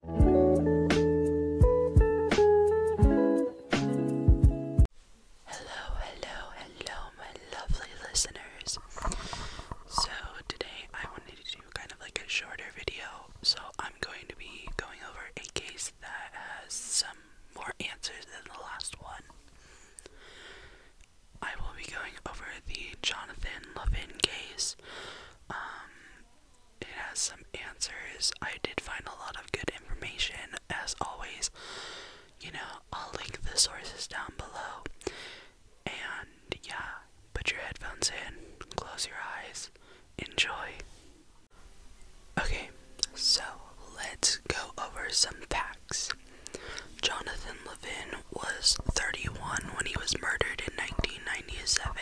Hello, hello, hello, my lovely listeners. So, today I wanted to do kind of like a shorter video. So, I'm going to be going over a case that has some more answers than the last one. I will be going over the Jonathan Levin case. Um, it has some answers. I did find a lot of good information, as always. You know, I'll link the sources down below. And yeah, put your headphones in, close your eyes, enjoy. Okay, so let's go over some facts. Jonathan Levin was 31 when he was murdered in 1997,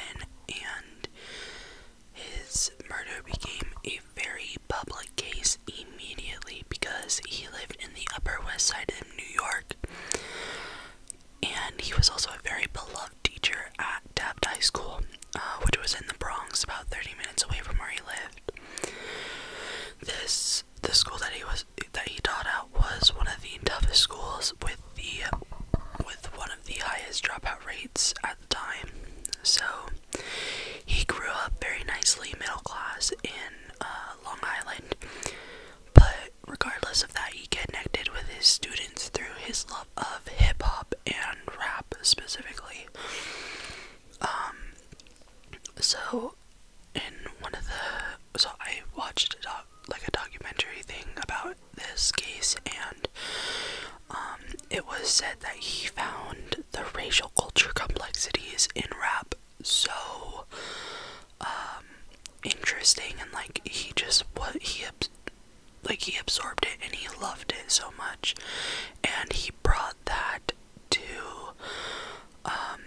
and his murder became a very public case immediately because he lived in the Upper West Side in New York. And he was also a very beloved teacher at Taft High School, uh, which was in the Bronx, about 30 minutes away from where he lived. This the school that he was that he taught at was one of the toughest schools with the with one of the highest dropout rates at the time. So he grew up very nicely, middle class in uh, Long Island. But regardless of that, he connected with his students through his love of hip hop and rap specifically. Um, so in one of the so I watched a doc, like a documentary thing about this case, and um, it was said that he found the racial culture complexities in rap so um, interesting, and like he just what he like he absorbed it and he loved it so much, and he brought that to um,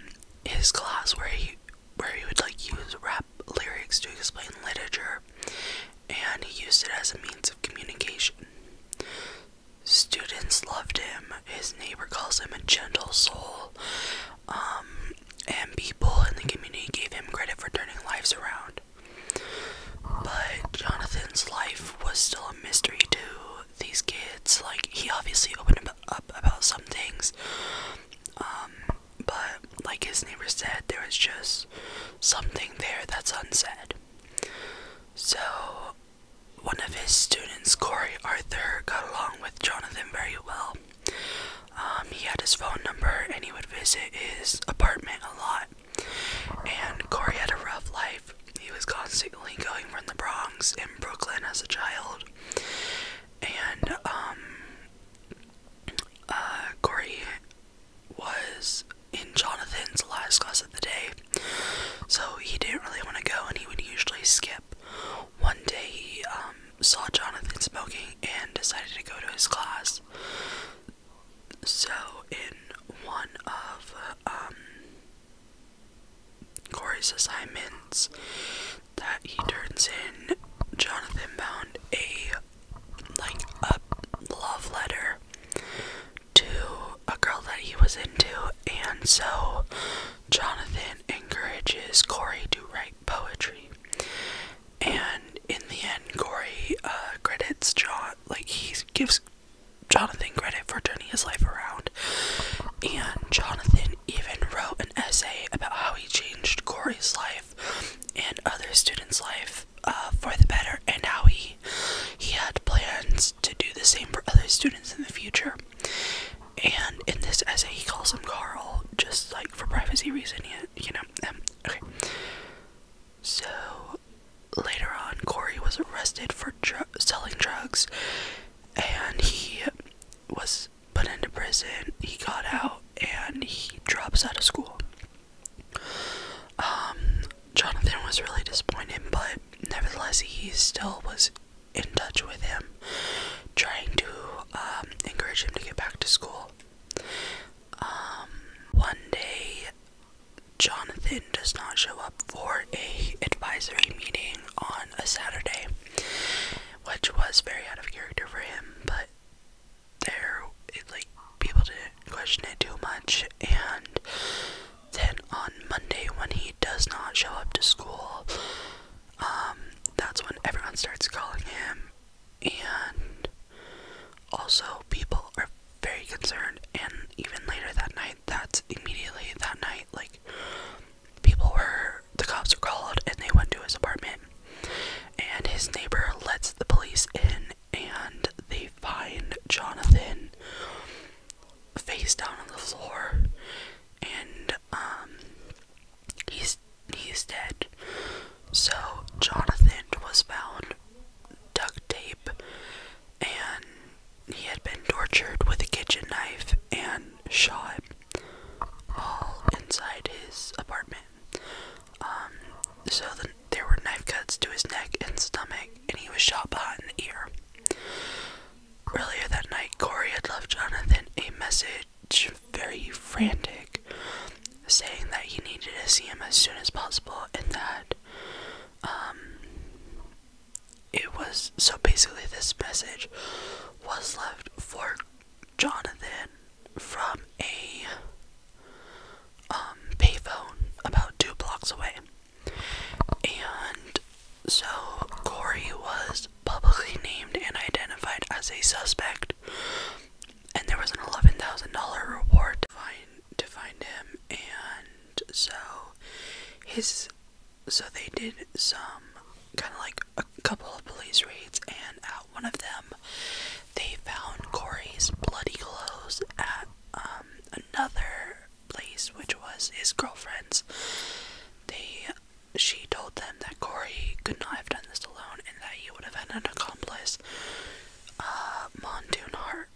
his class where he where he would like use rap lyrics to explain literature and he used it as a means of communication. Students loved him. His neighbor calls him a gentle soul. Um, and people in the community gave him credit for turning lives around. But Jonathan's life was still a mystery to these kids. Like, he obviously opened up about some things. Um, but like his neighbor said, there was just something there that's unsaid. So one of his students, Corey Arthur, got along with Jonathan very well. Um, he had his phone number and he would visit his apartment a lot. And Corey had a rough life. He was constantly going from the Bronx in Brooklyn as a child. And um, uh, Corey was in Jonathan's last class of the day, so he didn't really want to go, and he would usually skip. One day he um, saw Jonathan smoking and decided to go to his class. So in one of um, Corey's assignments, that he turns in Jonathan Bound a like a love letter to a girl that he was into and so Jonathan encourages Corey to write poetry. And in the end Corey uh, credits John like he gives Jonathan credit for turning his life around and Jonathan even wrote an essay about how he changed Corey's life and other students' life uh, for the better, and how he he had plans to do the same for other students in the future. And in this essay, he calls him Carl, just like for privacy reason, you know. Um, okay. So later on, Corey was arrested for selling drugs, and he was put into prison. He got out and he drops out of school. Um, Jonathan was really disappointed, but nevertheless, he still was in touch with him, trying to um, encourage him to get back to school. Um, one day, Jonathan does not show up for a advisory meeting on a Saturday, which was very out of character for him, but there, it, like, people didn't question it too much. And then on Monday, when he does not show up to school, um, that's when everyone starts calling him. And also, people are very concerned. And even later that night, that's immediately that night, like, people were the cops are called and they went to his apartment and his neighbor lets the police in and they find Jonathan face down on the floor and um, he's he's dead. So Jonathan was found duct tape and he had been tortured with a kitchen knife and shot all inside his apartment. Um, so the, there were knife cuts to his neck and stomach, and he was shot behind the ear. Earlier that night, Corey had left Jonathan a message, very frantic, saying that he needed to see him as soon as possible and that um, it was so basically this message was left for Jonathan from a um payphone about two blocks away. And so Corey was publicly named and identified as a suspect and there was an eleven thousand dollar reward to find to find him and so his so they did some kind of like a couple of police raids, and at one of them, they found Corey's bloody clothes at um, another place, which was his girlfriend's. They, she told them that Corey could not have done this alone, and that he would have had an accomplice, uh, Hart.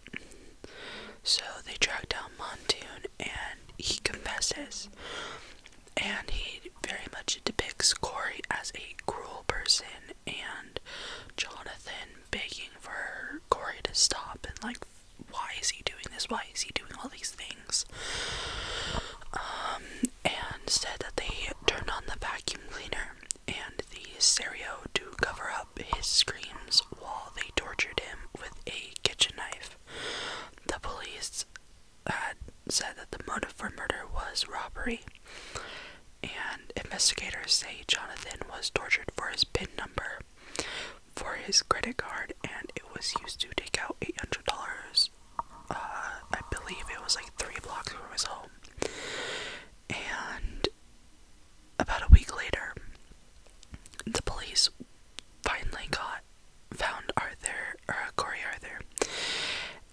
So they tracked down Montoon, and he confesses and he very much depicts Corey as a cruel person and Jonathan begging for Corey to stop and like why is he doing this? Why is he doing all these things? Um, and said that they turned on the vacuum cleaner and the stereo to cover up his screams while they tortured him with a kitchen knife. The police had said that the motive for murder was robbery, and investigators say Jonathan was tortured for his PIN number for his credit card, and it was used to take out $800. Uh, I believe it was like three blocks from his home. And about a week later, the police finally got found Arthur, or uh, Corey Arthur,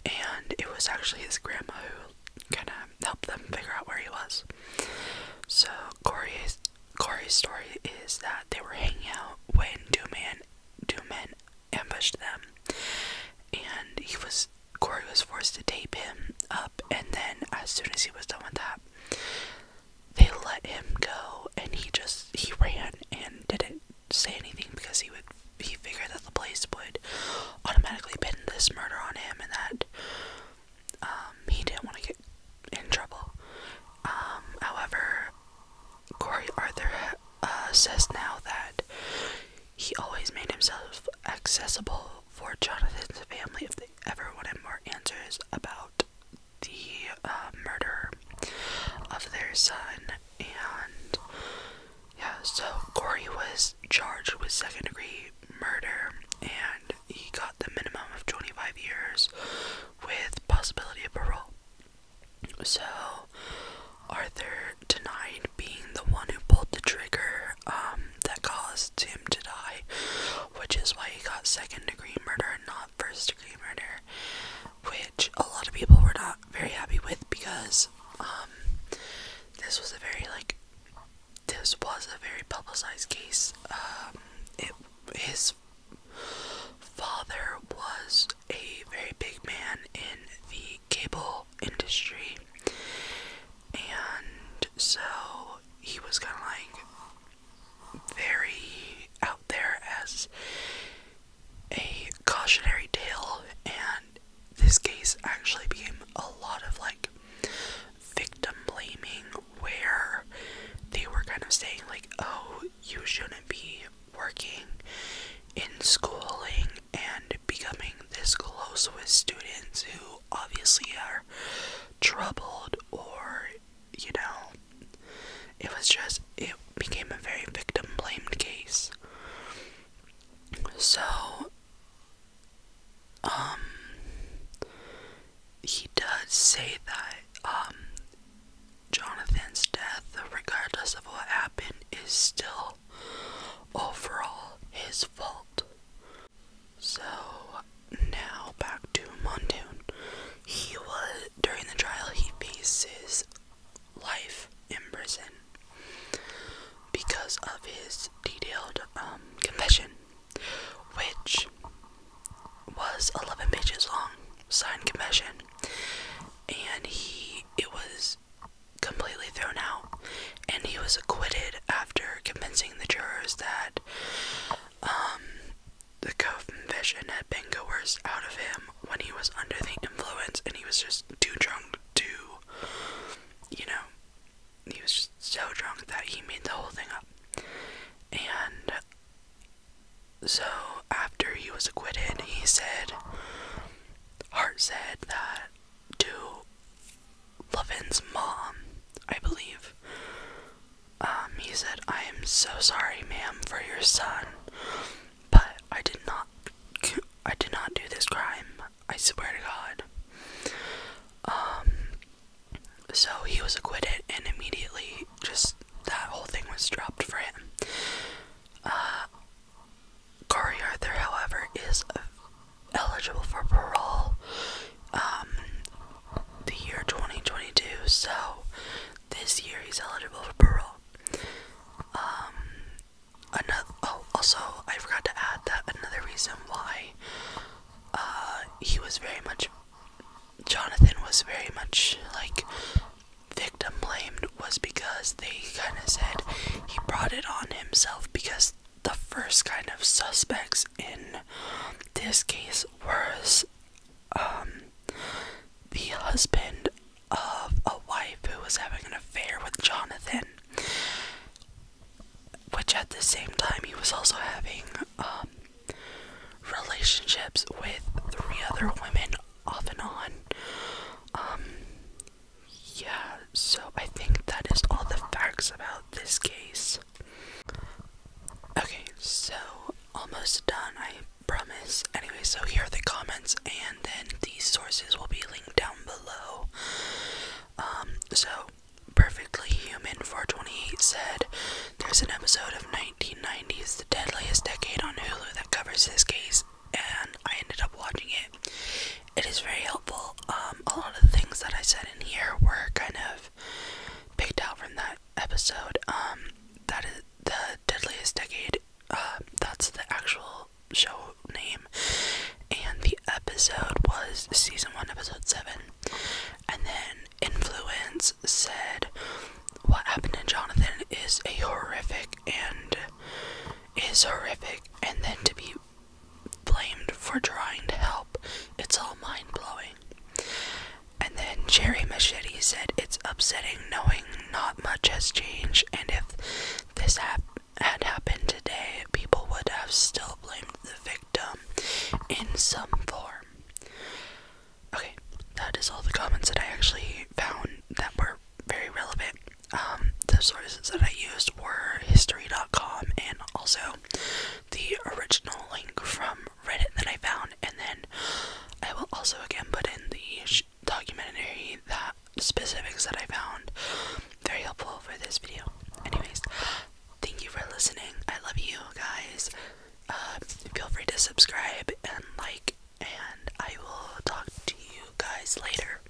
and it was actually his grandma who kind of helped them figure out where he was. So Corey's Corey's story is that they were hanging out when two men two men ambushed them, and he was Corey was forced to tape him up, and then as soon as he was done with that, they let him go and he just he ran and didn't say anything because he would he figured that the police would automatically pin this murder on him and that um he didn't want to get in trouble. Um however Corey Arthur uh, says now that he always made himself accessible for Jonathan's family if they ever wanted more answers about the uh, murder of their son, and yeah, so Corey was charged with second degree murder, and he got the minimum of 25 years with possibility of parole. So, Arthur denied being the one who pulled the trigger um, that caused him to die, which is why he got second degree murder and not first murder, which a lot of people were not very happy with because um, this was a very like this was a very publicized case. Um, his father was a very big man in the cable industry, and so he was kind of like very out there as a cautionary tale, and this case actually became a lot of like victim blaming where they were kind of saying, like, oh, you shouldn't be working in schooling and becoming this close with students who obviously are troubled or, you know, it was just, it became a very victim blamed case. So, um, he does say that, um, Jonathan's death, regardless of what happened, is still overall his fault. So now back to Mondoon. He was during the trial he faces life in prison because of his detailed um, confession, which was 11 pages long, signed confession, and he it was completely thrown out, and he was acquitted after convincing the jurors that um, the confession had been coerced out of him when he was under the influence and he was just too drunk to, you know, he was just so drunk that he made the whole thing up. And so after he was acquitted, he said, Hart said that to Levin's mom, I believe, um, he said, I am so sorry, ma'am, for your son, but I did not, I did not do this crime. I swear to God. Um, so he was acquitted, and immediately, just that whole thing was dropped for him. Uh, Corey Arthur, however, is eligible for parole. Um, the year 2022, so this year he's eligible for parole. Um, another, oh, also, I forgot to add that another reason why uh, he was very much, Jonathan was very much like victim blamed was because they kind of said he brought it on himself because the first kind of suspects in this case was um, the husband of a wife who was having an affair with Jonathan, which at the same time he was also having um, relationships with three other women off and on. Um, yeah, so I think that is all the facts about this case. Okay, so almost done, I promise. Anyway, so here are the comments, and then these sources will be linked down below. Um, so Perfectly Human 428 said, There's an episode of nineteen ninety 1990s, the deadliest decade on Hulu, that covers this case, and I ended up watching it. It is very helpful. Um, a lot of the things that I said in here were kind of of picked out from that episode. Um, that is the Deadliest Decade. Uh, that's the actual show name, and the episode was season one, episode seven. And then Influence said, "What happened to Jonathan is a horrific and is horrific, and then to be blamed for trying to help. It's all mind blowing. And then Jerry Machetti said, It's upsetting knowing not much has changed, and if this had happened today, people would have still blamed the victim in some form. Okay, that is all the comments that I actually found that were very relevant. Um, the sources that I used were history.com, and also the original link from Reddit that I found. And then I will also again put in the documentary that specifics that I found very helpful for this video. Anyways, thank you for listening. I love you guys. Um, feel free to subscribe and like, and I will talk to you guys later.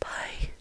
Bye.